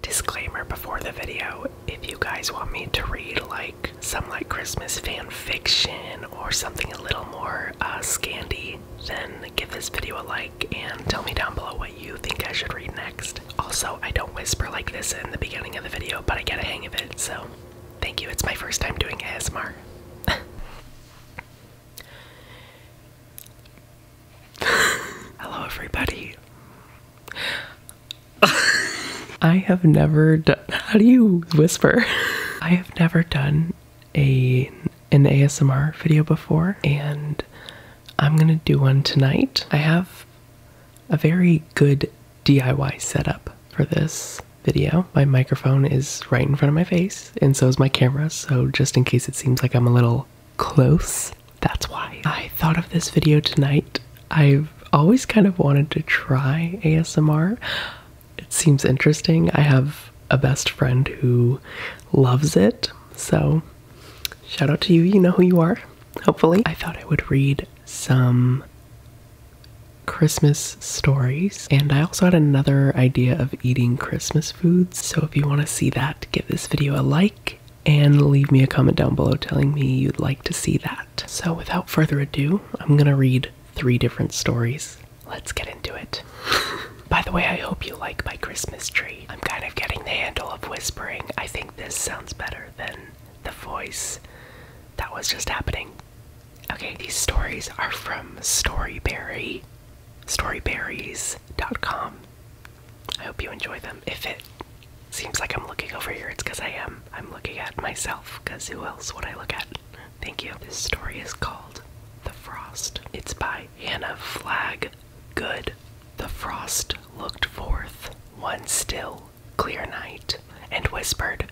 Disclaimer before the video if you guys want me to read like some like Christmas fan fiction or something a little more uh, scandy, then give this video a like and tell me down below what you think I should read next. Also, I don't whisper like this in the beginning of the video, but I get a hang of it, so Thank you. It's my first time doing ASMR. Hello, everybody. I have never done. How do you whisper? I have never done a an ASMR video before, and I'm gonna do one tonight. I have a very good DIY setup for this video. My microphone is right in front of my face, and so is my camera, so just in case it seems like I'm a little close, that's why. I thought of this video tonight. I've always kind of wanted to try ASMR. It seems interesting. I have a best friend who loves it, so shout out to you. You know who you are, hopefully. I thought I would read some Christmas stories. And I also had another idea of eating Christmas foods. So if you want to see that, give this video a like and leave me a comment down below telling me you'd like to see that. So without further ado, I'm going to read three different stories. Let's get into it. By the way, I hope you like my Christmas tree. I'm kind of getting the handle of whispering. I think this sounds better than the voice that was just happening. Okay, these stories are from Storyberry, storyberries.com. I hope you enjoy them. If it seems like I'm looking over here, it's because I am. I'm looking at myself, because who else would I look at? Thank you. This story is called The Frost. It's by Hannah Flagg Good. The frost looked forth, one still clear night, and whispered,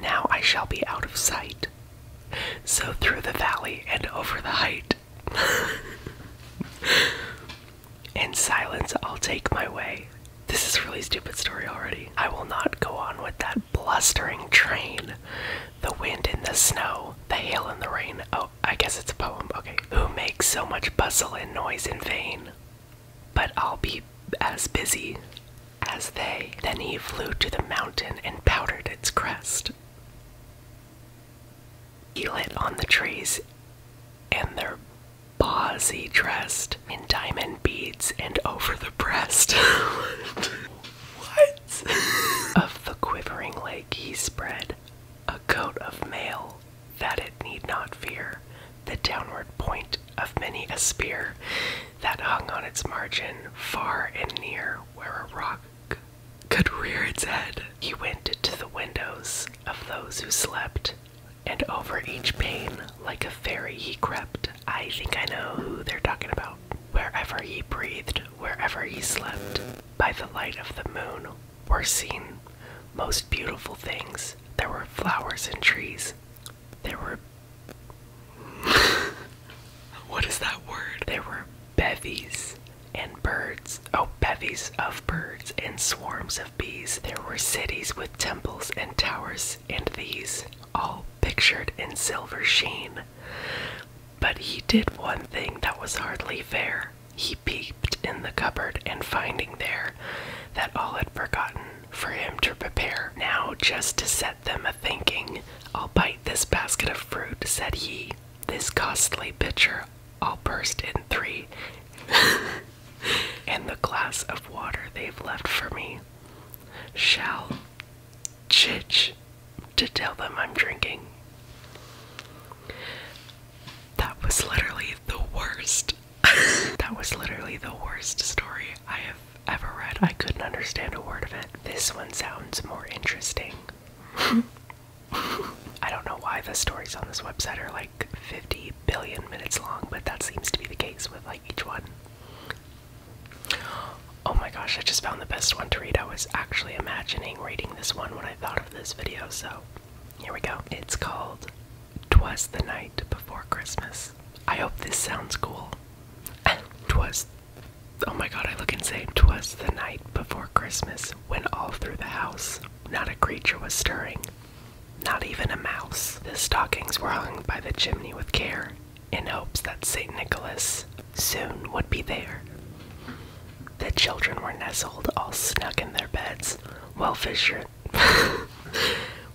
Now I shall be out of sight. So through the valley and over the height. In silence, I'll take my way. This is really stupid story already. I will not go on with that blustering train. The wind in the snow, the hail in the rain. Oh, I guess it's a poem. Okay. Who makes so much bustle and noise in vain? but I'll be as busy as they. Then he flew to the mountain and powdered its crest. He lit on the trees and their paws he dressed in diamond beads and over the breast. what? of the quivering lake he spread a coat of mail that it need not fear, the downward point of many a spear that hung on its margin far and near where a rock could rear its head. He went to the windows of those who slept, and over each pane, like a fairy, he crept. I think I know who they're talking about. Wherever he breathed, wherever he slept, by the light of the moon were seen most beautiful things. There were flowers and trees, there were what is that word? There were bevies and birds. Oh, bevies of birds and swarms of bees. There were cities with temples and towers, and these, all pictured in silver sheen. But he did one thing that was hardly fair. He peeped in the cupboard, and finding there that all had forgotten, for him to prepare. Now, just to set them a thinking, I'll bite this basket of fruit, said he. This costly pitcher I'll burst in three, and the glass of water they've left for me shall chich to tell them I'm drinking. That was literally the worst that was literally the worst story I have ever read. I couldn't understand a word of it. This one sounds more interesting. I don't know why the stories on this website are like 50 billion minutes long, but that seems to be the case with like each one. Oh my gosh, I just found the best one to read. I was actually imagining reading this one when I thought of this video, so here we go. It's called Twas the Night Before Christmas. I hope this sounds cool. Twas. Oh my god, I look insane. Twas the night before Christmas when all through the house not a creature was stirring, not even a mouse. The stockings were hung by the chimney with care in hopes that St. Nicholas soon would be there. The children were nestled all snug in their beds while Fisher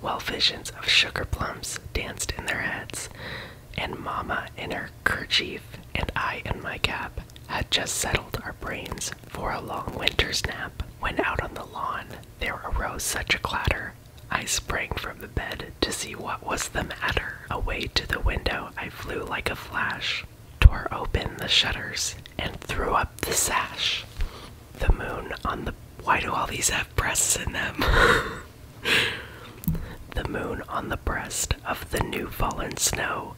While visions of sugar plums danced in their heads, and Mama in her kerchief and I in my cap had just settled our brains for a long winter's nap, when out on the lawn there arose such a clatter. I sprang from the bed to see what was the matter. Away to the window I flew like a flash, tore open the shutters, and threw up the sash the moon on the why do all these have breasts in them? the moon on the breast of the new fallen snow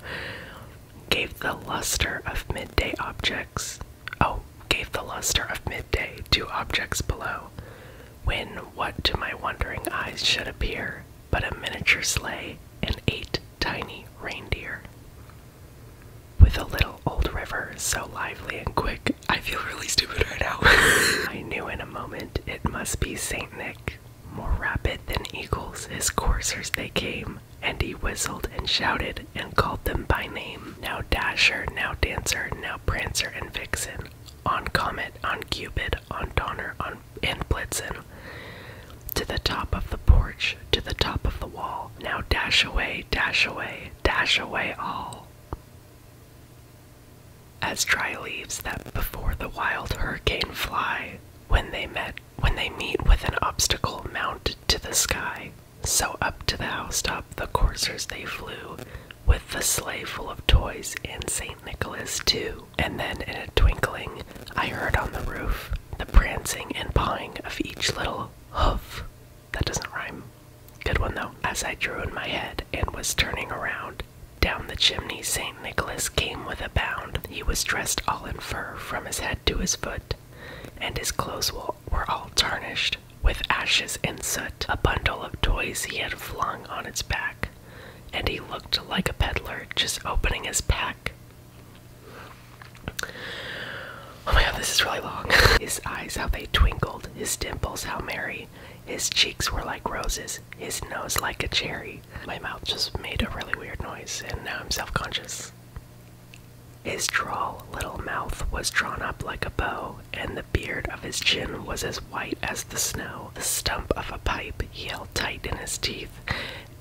gave the luster of midday objects. Oh, gave the luster of midday to objects below. When what to my wondering eyes should appear but a miniature sleigh and eight tiny reindeer with a little old river so lively and quick. I feel really stupid right now. I knew in a moment it must be St. Nick. More rapid than eagles, his coursers they came, and he whistled and shouted and called them by name. Now Dasher, now Dancer, now Prancer and Vixen, on Comet, on Cupid, on Donner, on and Blitzen. To the top of the porch, to the top of the wall. Now dash away, dash away, dash away all. As dry leaves that before the wild hurricane fly, when they met when they meet with an obstacle mounted to the sky, so up to the housetop the coursers they flew, with the sleigh full of toys and Saint Nicholas too. And then in a twinkling I heard on the roof the prancing and pawing of each little hoof. That doesn't rhyme. Good one though. As I drew in my head and was turning around, down the chimney St. Nicholas came with a bound. He was dressed all in fur from his head to his foot, and his clothes were all tarnished with ashes and soot. A bundle of toys he had flung on its back, and he looked like a peddler just opening his pack. Oh my god, this is really long. his eyes, how they twinkled, his dimples, how merry. His cheeks were like roses, his nose like a cherry. My mouth just made a really weird noise, and now I'm self conscious. His droll little mouth was drawn up like a bow, and the beard of his chin was as white as the snow. The stump of a pipe he held tight in his teeth,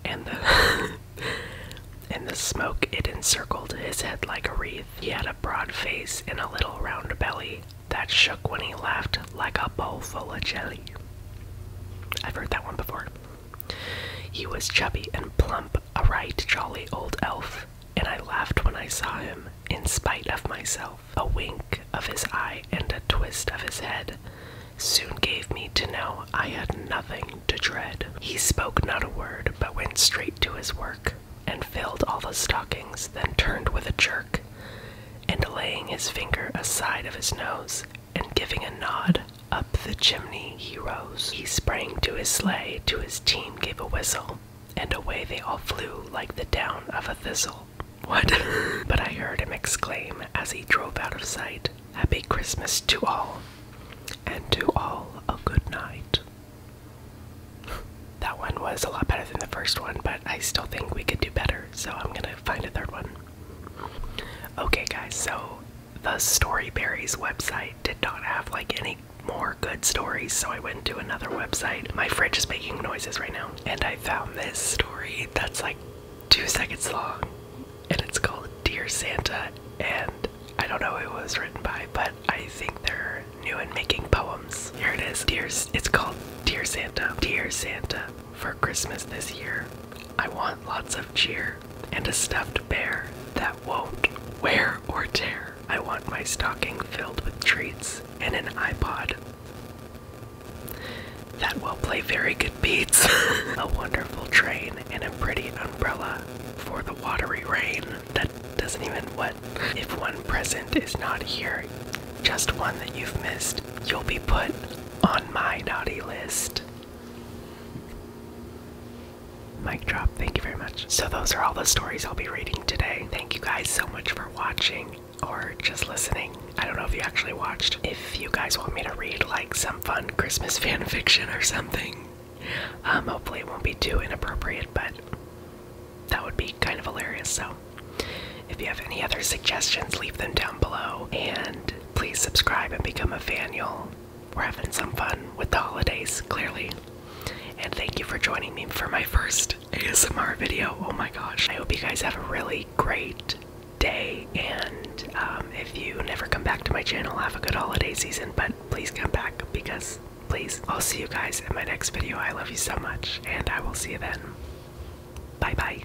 and the. and the smoke it encircled his head like a wreath. He had a broad face and a little round belly that shook when he laughed like a bowl full of jelly. I've heard that one before. He was chubby and plump, a right jolly old elf, and I laughed when I saw him, in spite of myself. A wink of his eye and a twist of his head soon gave me to know I had nothing to dread. He spoke not a word, but went straight to his work, and filled all the stockings, then turned with a jerk, and laying his finger aside of his nose, and giving a nod, up the chimney he rose. He sprang to his sleigh, to his team gave a whistle, and away they all flew like the down of a thistle. What? but I heard him exclaim as he drove out of sight, Happy Christmas to all, and to all a good night that one was a lot better than the first one, but I still think we could do better, so I'm gonna find a third one. Okay, guys, so the Storyberries website did not have like any more good stories, so I went to another website. My fridge is making noises right now, and I found this story that's like two seconds long, and it's called Dear Santa, and I don't know who it was written by, but I think they're new and making poems. Here it is. Dear, it's called Dear Santa. Dear Santa, for Christmas this year, I want lots of cheer and a stuffed bear that won't wear or tear. I want my stocking filled with treats and an iPod that will play very good beats. a wonderful train and a pretty umbrella for the watery rain that doesn't even what. If one present is not here, just one that you've missed, you'll be put on my naughty list. Mic drop, thank you very much. So, those are all the stories I'll be reading today. Thank you guys so much for watching or just listening. I don't know if you actually watched. If you guys want me to read like some fun Christmas fan fiction or something, um, hopefully it won't be too inappropriate, but that would be kind of hilarious. So, if you have any other suggestions, leave them down below. And please subscribe and become a fan, y'all. We're having some fun with the holidays, clearly. And thank you for joining me for my first ASMR video. Oh my gosh. I hope you guys have a really great day. And um, if you never come back to my channel, have a good holiday season. But please come back because please. I'll see you guys in my next video. I love you so much, and I will see you then. Bye bye.